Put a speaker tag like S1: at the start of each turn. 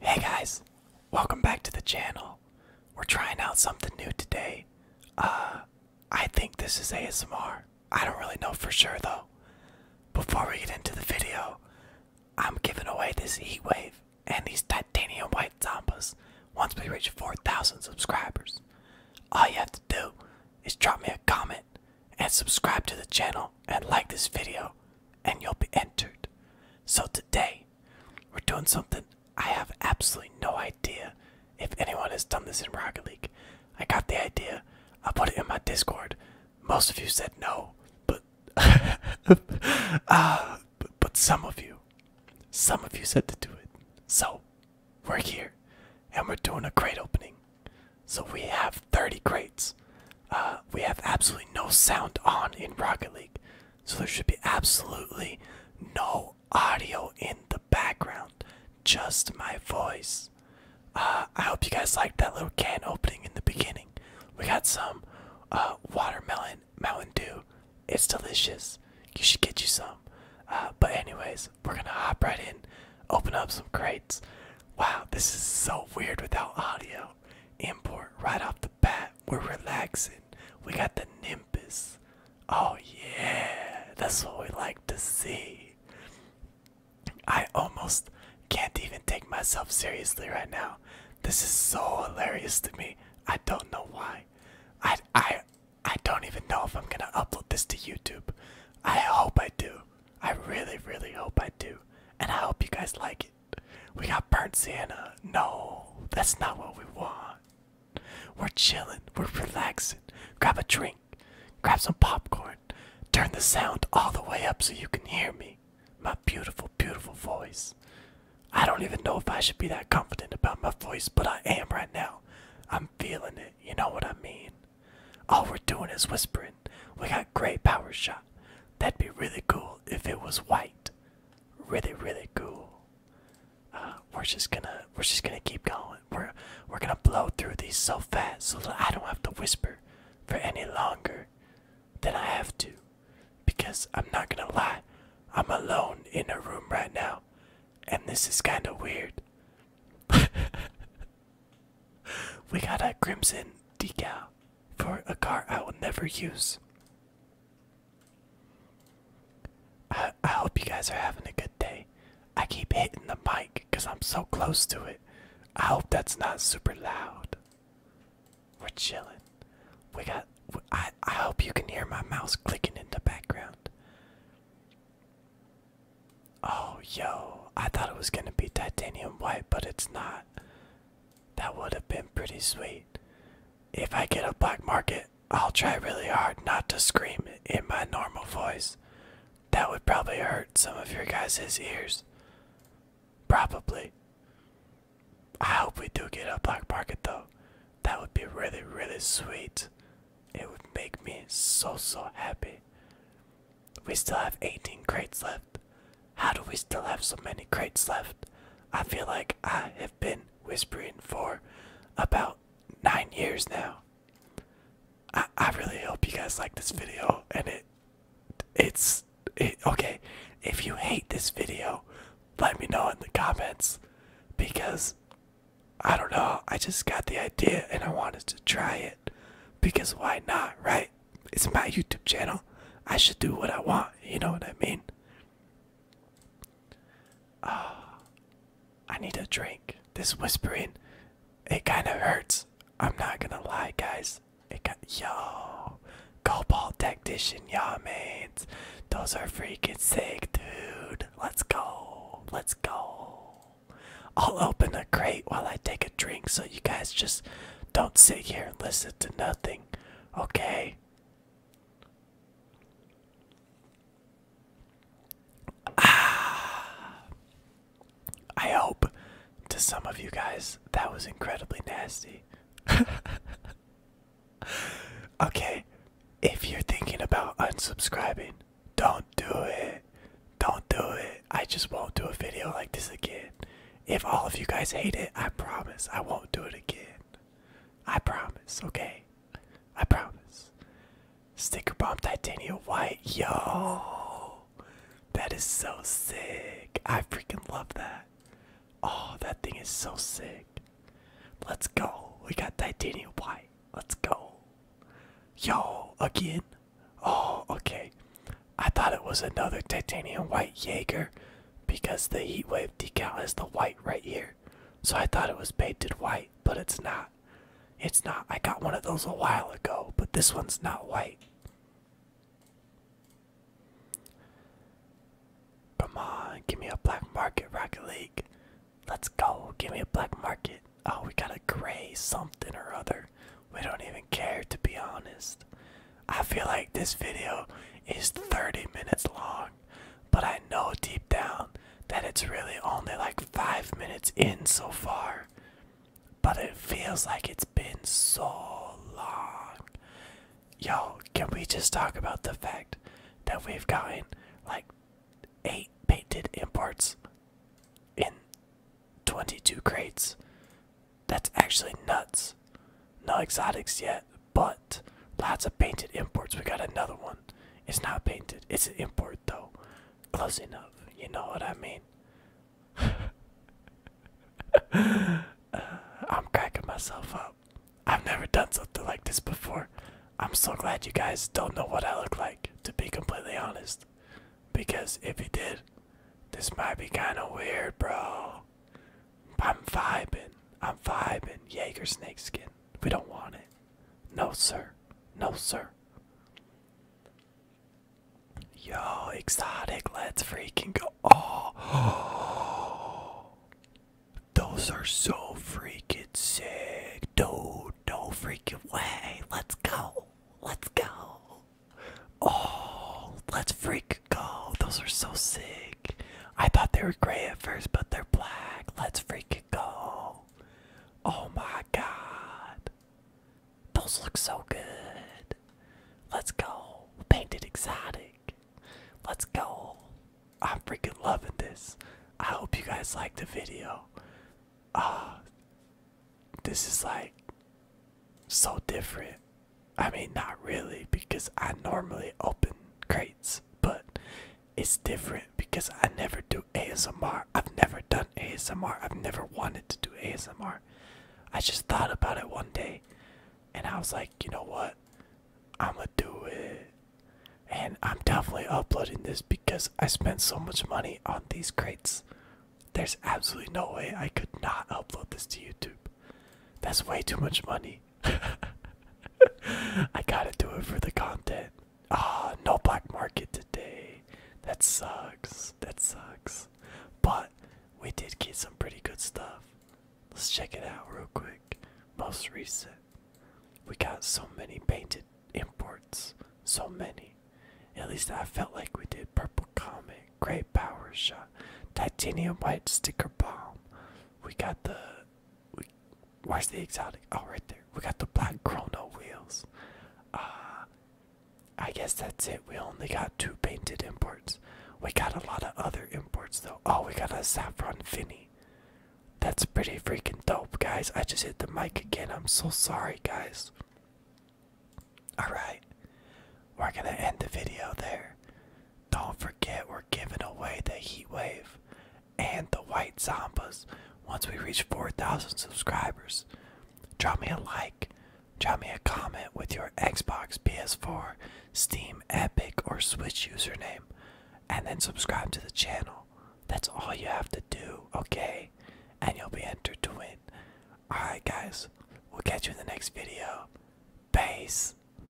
S1: Hey guys, welcome back to the channel. We're trying out something new today. Uh, I think this is ASMR. I don't really know for sure though. Before we get into the video, I'm giving away this heat wave and these titanium white zambas once we reach 4,000 subscribers. All you have to do is drop me a comment and subscribe to the channel and like this video and you'll be entered. So today we're doing something I have absolutely no idea if anyone has done this in Rocket League. I got the idea. I put it in my Discord. Most of you said no, but uh, but some of you, some of you said to do it. So we're here and we're doing a crate opening. So we have 30 crates. Uh, we have absolutely no sound on in Rocket League. So there should be absolutely no audio in the background, just my voice. Uh, I hope you guys liked that little can opening in the beginning. We got some uh, watermelon Mountain Dew. It's delicious. You should get you some. but anyways, we're gonna hop right in, open up some crates. Wow, this is so weird without audio. Import right off the bat. We're relaxing. We got the Nimbus. Oh, yeah, that's what we like to see. I almost can't even take myself seriously right now. This is so hilarious to me. I don't know why. I, I, I don't even know if I'm gonna upload this to YouTube. I hope I do. I really, really hope I do. And I hope you guys like it. We got burnt Sienna. No, that's not what we want. We're chilling, we're relaxing. Grab a drink, grab some popcorn, turn the sound all the way up so you can hear me. My beautiful, beautiful voice. I don't even know if I should be that confident about my voice, but I am right now. I'm feeling it, you know what I mean? All we're doing is whispering. We got great power shot. That'd be really cool if it was white. Really, really cool. Uh, we're just gonna we're just gonna keep going. We're we're gonna blow through these so fast so that I don't have to whisper for any longer than I have to because I'm not gonna lie, I'm alone in a room right now, and this is kind of weird. we got a crimson decal for a car I will never use. I, I hope you guys are having a good day. I keep hitting the mic because I'm so close to it. I hope that's not super loud. We're chilling. We got. I, I hope you can hear my mouse clicking in the background. Oh, yo. I thought it was going to be titanium white, but it's not. That would have been pretty sweet. If I get a black market, I'll try really hard not to scream in my normal voice. That would probably hurt some of your guys' ears. Probably. I hope we do get a black market though. That would be really, really sweet. It would make me so, so happy. We still have 18 crates left. How do we still have so many crates left? I feel like I have been whispering for about nine years now. I, I really hope you guys like this video and it it's Eh, okay if you hate this video let me know in the comments because i don't know i just got the idea and i wanted to try it because why not right it's my youtube channel i should do what i want you know what i mean uh, i need a drink this whispering it kind of hurts i'm not gonna lie guys Yo, It ball yo Tactician, y'all mates. Those are freaking sick, dude. Let's go. Let's go. I'll open the crate while I take a drink so you guys just don't sit here and listen to nothing. Okay? Ah I hope to some of you guys, that was incredibly nasty. okay, if you're thinking about unsubscribing, don't do it. Don't do it. I just won't do a video like this again. If all of you guys hate it, I promise I won't do it again. I promise, okay? I promise. Sticker Bomb Titanium White, yo! that is so sick. I freaking love that. Oh, that thing is so sick. Let's go. We got titanium white. Let's go. Yo, again. Oh, okay. I thought it was another titanium white Jaeger because the heat wave decal is the white right here. So I thought it was painted white, but it's not. It's not. I got one of those a while ago, but this one's not white. Come on, give me a black market, Rocket League. Let's go, give me a black market. Oh, we got a gray something or other. We don't even care, to be honest. I feel like this video is 30 minutes long, but I know deep down that it's really only like 5 minutes in so far but it feels like it's been so long. Yo, can we just talk about the fact that we've gotten like eight painted imports in 22 crates? That's actually nuts. No exotics yet, but lots of painted imports. We got another one. It's not painted, it's an import though close enough. You know what I mean? I'm cracking myself up. I've never done something like this before. I'm so glad you guys don't know what I look like, to be completely honest. Because if you did, this might be kind of weird, bro. I'm vibing. I'm vibing. Jaeger snake skin. We don't want it. No, sir. No, sir. Yo, exotic, let's freaking go. Oh, those are so freaking sick. Dude, no freaking way. Let's go. Let's go. Oh, let's freak go. Those are so sick. I thought they were gray at first, but they're black. Let's freak go. Oh my god. Those look so good. Let's go. Painted exotic. Let's go. I'm freaking loving this. I hope you guys liked the video. Uh this is like so different. I mean not really because I normally open crates, but it's different because I never do ASMR. I've never done ASMR. I've never wanted to do ASMR. I just thought about it one day and I was like, you know what? I'm gonna do it. And I'm definitely uploading this because I spent so much money on these crates. There's absolutely no way I could not upload this to YouTube. That's way too much money. I gotta do it for the content. Ah, no black market today. That sucks. That sucks. But we did get some pretty good stuff. Let's check it out real quick. Most recent. We got so many painted imports. So many. At least I felt like we did. Purple Comet, Great Power Shot, Titanium White Sticker Bomb. We got the where's the exotic? Oh, right there. We got the black chrono wheels. Uh, I guess that's it. We only got two painted imports. We got a lot of other imports though. Oh, we got a saffron finny. That's pretty freaking dope, guys. I just hit the mic again. I'm so sorry, guys. Alright, we're gonna end the video there. Don't forget, we're giving away the heatwave, and the white zambas once we reach 4,000 subscribers. Drop me a like, drop me a comment with your Xbox, PS4, Steam, Epic, or Switch username, and then subscribe to the channel. That's all you have to do, okay? And you'll be entered to win. Alright, guys, we'll catch you in the next video. Peace.